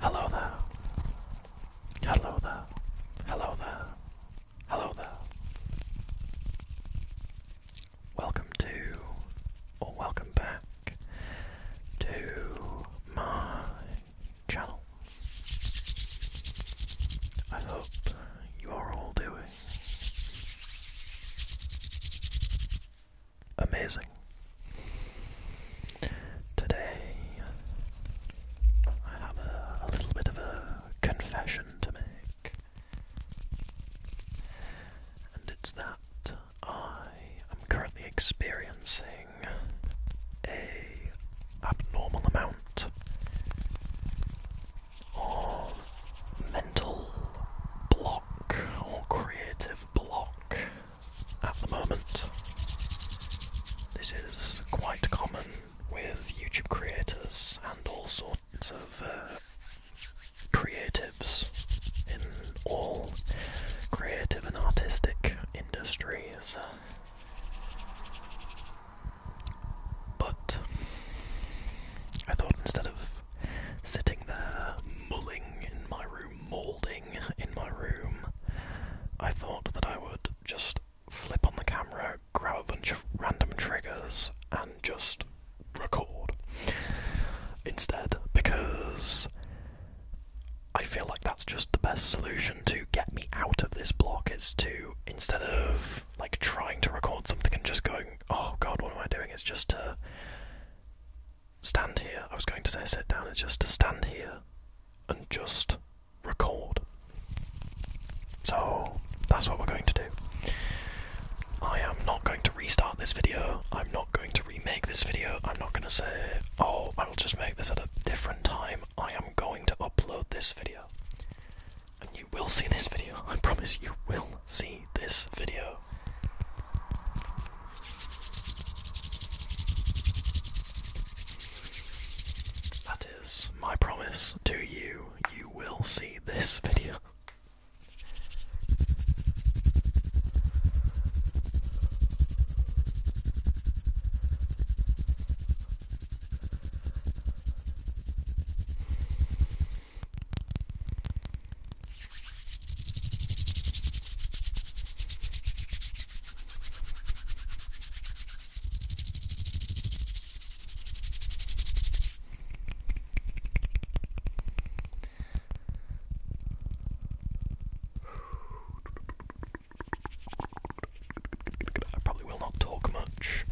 Hello there. Hello there. Hello there. Hello there. Welcome to, or welcome back to my channel. I hope you are all doing amazing. Today, I have a, little bit of a confession to make, and it's that I am currently experiencing a abnormal amount of mental block or creative block at the moment. This is quite common with YouTube creators and all sorts of uh, creatives in all creative and artistic industries. But I thought instead of sitting there mulling in my room, moulding in my room, I thought that I would just flip on the camera, grab a bunch of random triggers, and just record instead because I feel like that's just the best solution to get me out of this block is to instead of like trying to record something and just going, oh god, what am I doing? It's just to stand here. I was going to say sit down, it's just to stand here and just record. So that's what we're going to do. I am not going to restart this video, I'm not going to remake this video, I'm not going to say, oh, I will just make this at a different time. I am going to upload this video. And you will see this video, I promise you will see this video. That is my promise to you. You will see this video. I probably will not talk much.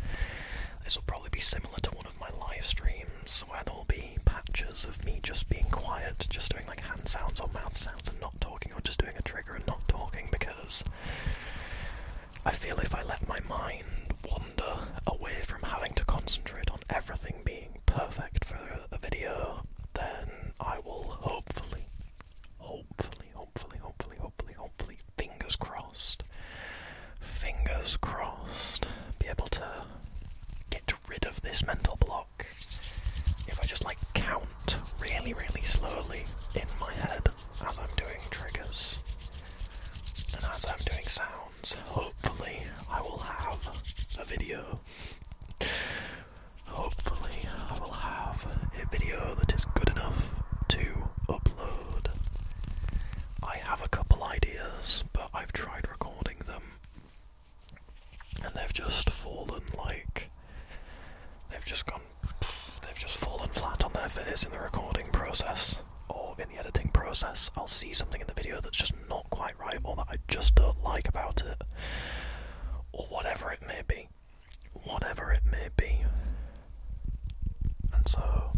This will probably be similar to one of my live streams where there will be patches of me just being quiet, just doing like hand sounds or mouth sounds and not talking talking or just doing a trigger and not talking because I feel if I let my mind wander away from having to concentrate on everything being perfect for the video, then I will hopefully, hopefully, hopefully, hopefully, hopefully, hopefully, fingers crossed, fingers crossed, be able to get rid of this mental block if I just like count really, really slowly in my head as I'm doing triggers and as I'm doing sounds, hopefully I will have a video. Hopefully, I will have a video that is good enough to upload. I have a couple ideas, but I've tried recording them and they've just fallen like they've just gone they've just fallen flat on their face in the recording process or in the editing process i'll see something in the video that's just not quite right or that i just don't like about it or whatever it may be whatever it may be and so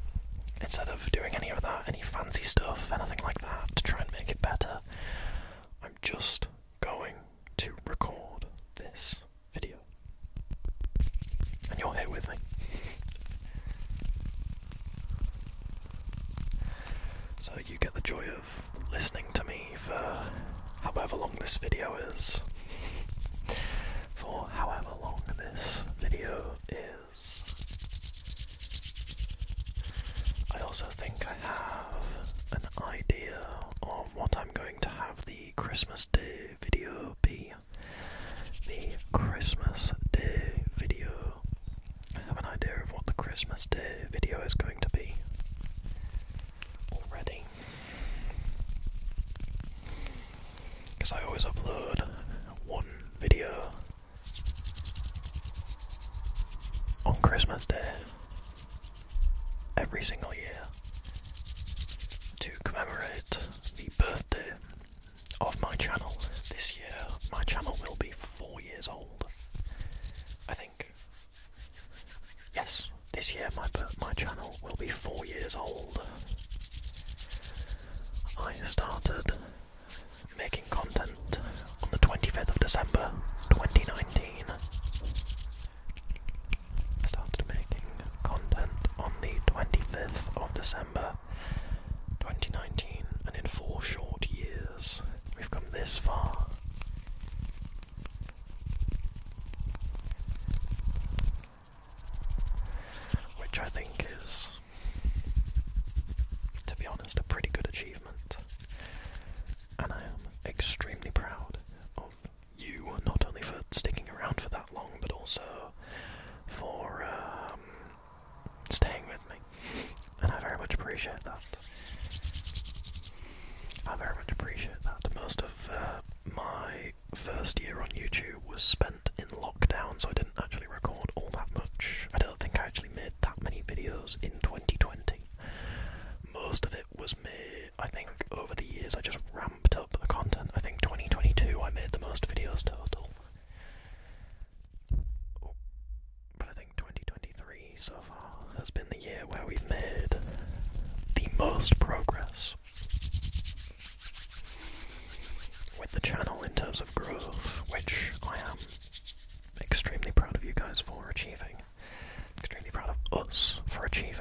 instead of doing any of that any fancy stuff anything like that to try and make it better i'm just going to record this video. And you're here with me. So you get the joy of listening to me for however long this video is. For however long this video is. I also think I have an idea of what I I'm going to have the Christmas Day video be. The Christmas Day video. I have an idea of what the Christmas Day video is going to be already. Because I always upload one video on Christmas Day every single year to commemorate the birthday of my channel. This year, my channel will be four years old. I think. Yes, this year my my channel will be four years old. I started making content on the 25th of December 2019. I started making content on the 25th of December 2019, and in four short years, we've come this far. Which I think is, to be honest, a pretty good achievement. And I am extremely proud of you, not only for sticking around for that long, but also for um, staying with me. And I very much appreciate that. I very much appreciate that. Most of uh, my first year on YouTube was spent in lockdown, so I didn't actually record all that much. I don't think I actually made that many videos in 2020. Most of it was me. I think over the years I just ramped up the content. I think 2022 I made the most videos total. Oh, but I think 2023 so far has been the year where we've made the most progress with the channel in terms of growth, which I am extremely proud of you guys for achieving. Extremely proud of us for achieving.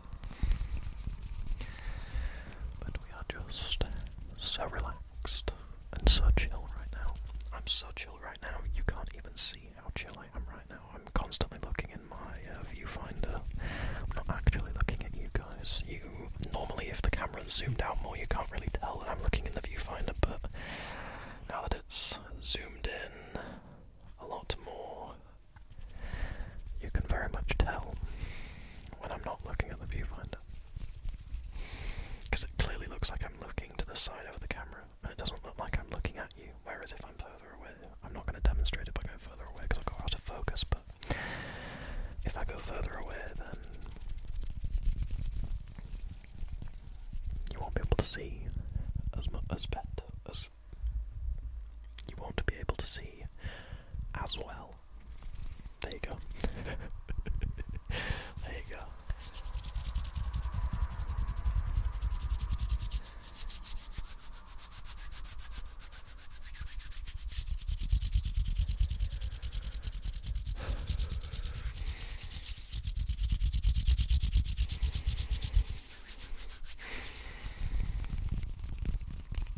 But we are just so relaxed and so chill right now. I'm so chill right now, you can't even see how chill I am right now. I'm constantly looking in my uh, viewfinder. I'm not actually looking at you guys. You normally, if the camera's zoomed out more, you can't really tell that I'm looking in the viewfinder, but now that it's zoomed in a lot more, you can very much tell when I'm not looking at the viewfinder. Because it clearly looks like I'm looking to the side of the camera, and it doesn't look like I'm looking at you. Whereas if I'm further away, I'm not going to demonstrate it by going further away because I'll go out of focus, but if I go further away, then you won't be able to see as, much as, bet, as you won't be able to see as well. There you go. there you go.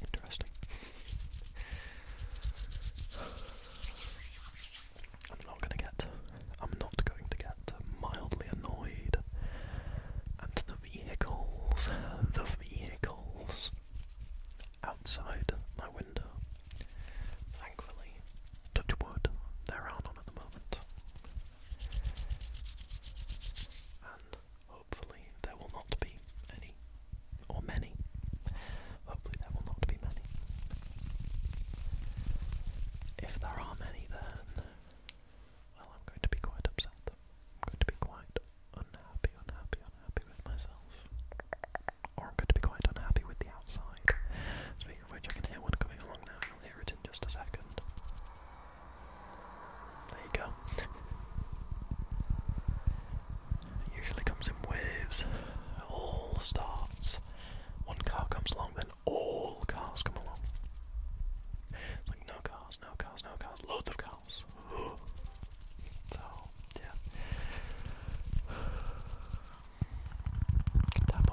Interesting. I'm not gonna get I'm not going to get mildly annoyed at the vehicles. The vehicles outside my window. Thankfully, touch wood, there are none at the moment. And hopefully there will not be any, or many. Hopefully there will not be many. If there are many, then well, I'm going to be quite upset. I'm going to be quite unhappy, unhappy, unhappy with myself. Or I'm going to be quite unhappy with the outside. Speaking of which, I can hear one coming along now, you'll hear it in just a second. There you go. It usually comes in waves. All starts. One car comes along, then all cars come along. like no cars, no cars, no cars, loads of cars. tap on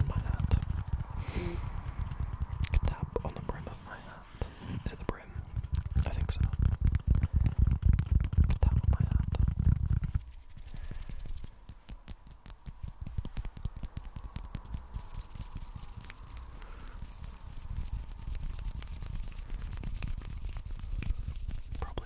my hand. tap on the brim of my hand. Is it the brim? I think so. tap on my hand. Probably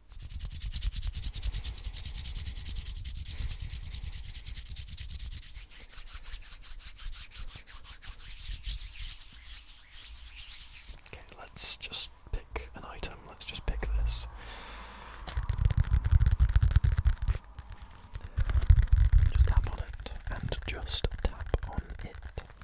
Okay, let's just pick an item. Let's just pick this. Just tap on it and just tap on it.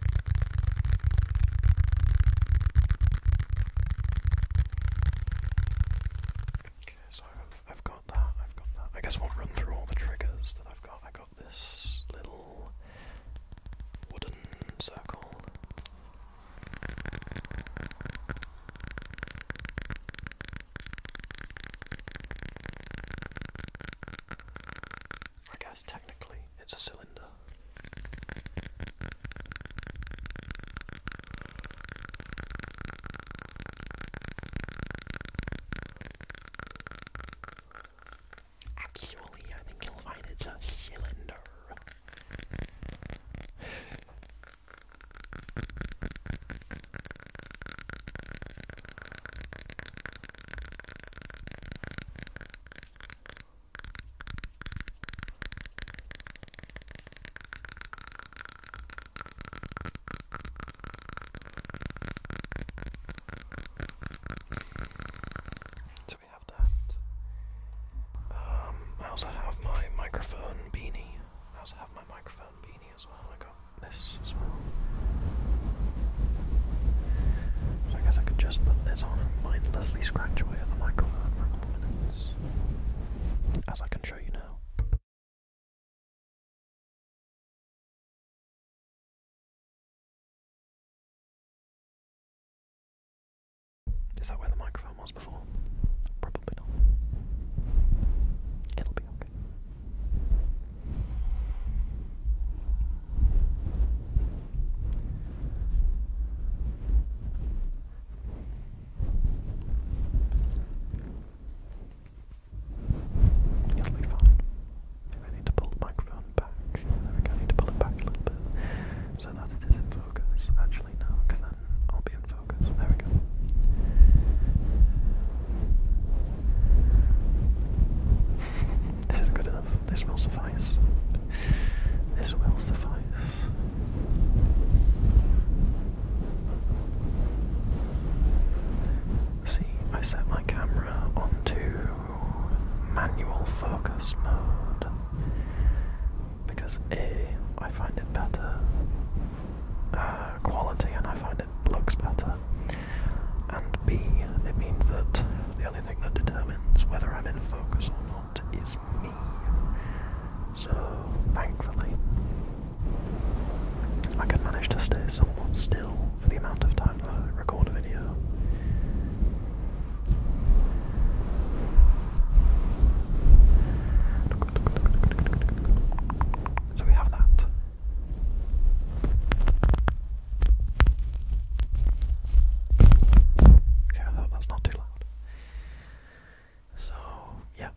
Okay, so I've, got that, I've got that. I guess we'll run through all the triggers that I've got. I got this little wooden circle. I guess technically it's a cylinder. Actually, I think you'll find it's a cylinder. So we have that. Um, I also have my microphone beanie. I also have my microphone beanie as well. I got this as well. I guess I could just put this on mindlessly scratch away at the microphone for a couple minutes. As I can show you now. Is that where the microphone was before? Probably not. It'll be okay. It'll be fine. If I need to pull the microphone back, there we go, to pull it back a little bit so that it is in focus. Actually, no, because then I'll be in focus. There we go. This is good enough. This will suffice. This will suffice. See, I set my camera onto manual focus mode because A, I find it better uh, quality and I find it looks better, and B, it means that the only thing that determines whether I'm in focus or not is me. So, thankfully, I can manage to stay somewhat still for the amount of time that I record a video. So we have that. Okay, that's not too loud. So, yeah,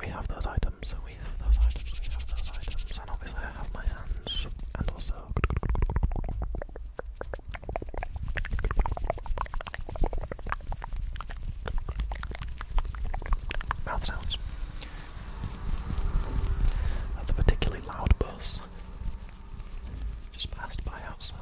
we have those items, we have those items, we have those items, and obviously I have my hands, and also. Mouth sounds. That's a particularly loud buzz. Just passed by outside.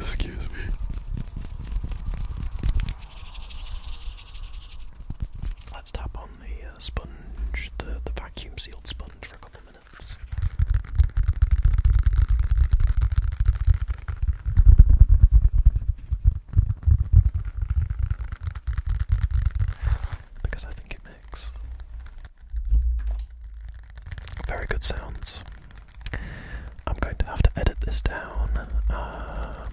Excuse me. Let's tap on the uh, sponge, the, the vacuum sealed sponge, for a couple minutes. Because I think it makes very good sounds. I'm going to have to edit this down, um,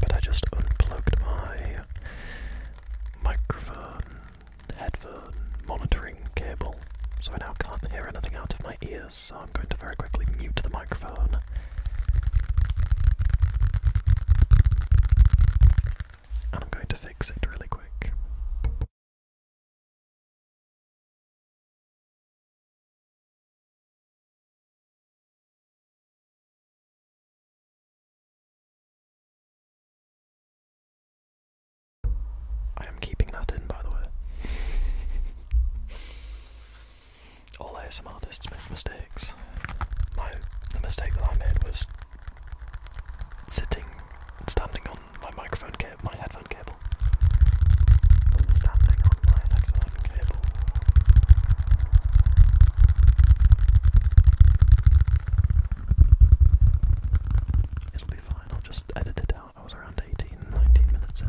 but I just unplugged my microphone, headphone, monitoring cable, so I now can't hear anything out of my ears, so I'm going to very quickly mute the microphone. And I'm going to fix it really quick. I am keeping that in, by the way. All ASMR artists make mistakes. My the mistake that I made was sitting, standing on my microphone cable, my headphone cable. Standing on my headphone cable. It'll be fine, I'll just edit it out. I was around 18, minutes in.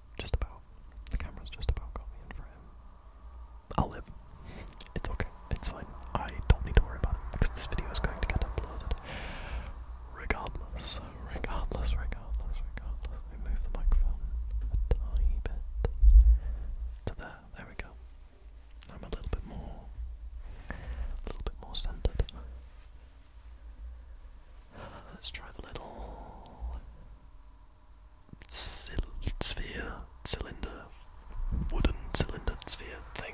Just about. The camera's just about got in for him. I'll live. It's okay. It's fine. I don't need to worry about it because this video is going to get uploaded. Regardless, regardless, regardless, regardless. We the microphone a bit to there. There we go. I'm a little bit more, a little bit more centered. Let's try the little sphere, cylinder, wooden cylinder sphere thing.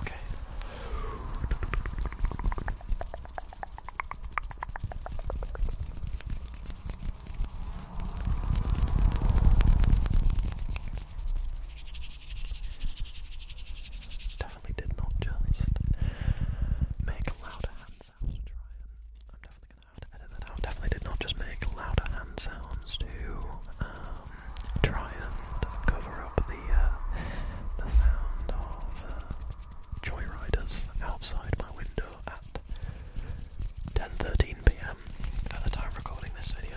Okay. Definitely did not just make louder hand sound try I'm definitely gonna have to edit that out. Definitely did not just make louder hand sounds to um, try and cover up the uh, the sound of uh, joyriders outside my window at 10:13 p.m. at the time of recording this video.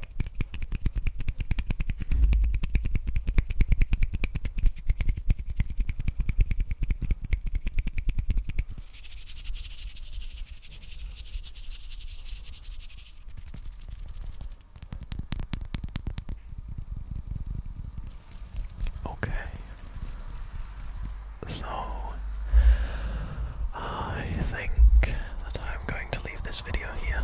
Okay. So, I think that I'm going to leave this video here.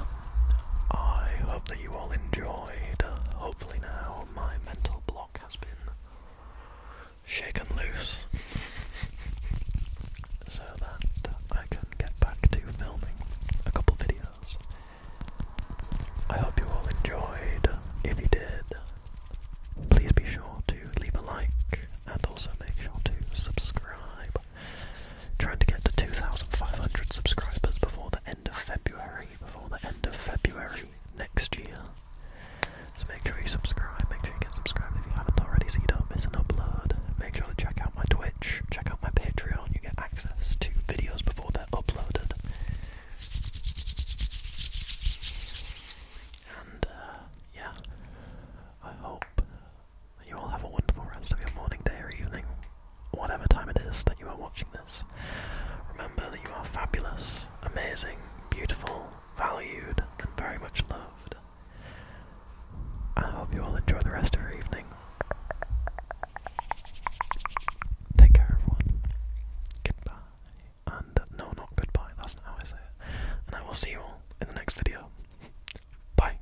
I hope that you all enjoyed. Hopefully, now my mental block has been shaken loose so that I can get back to filming a couple videos. I hope you all enjoyed. If you did, please be sure to leave a like and also make sure to subscribe. Trying to get to 2,500 subscribers before the end of February, before the end of February next year. So make sure you subscribe, make sure you get subscribed if you haven't already so don't miss an upload. Make sure to check out my Twitch, check out my Patreon, you get access to videos before they're uploaded. And uh, yeah, I hope you all have a wonderful rest of your morning, day, or evening, whatever time it is that you are watching this. Remember that you are fabulous, amazing, beautiful, valued, and very much loved. I hope you all enjoy the rest of your evening. Take care, everyone. Goodbye. And no, not goodbye, that's not how I say it. And I will see you all in the next video. Bye.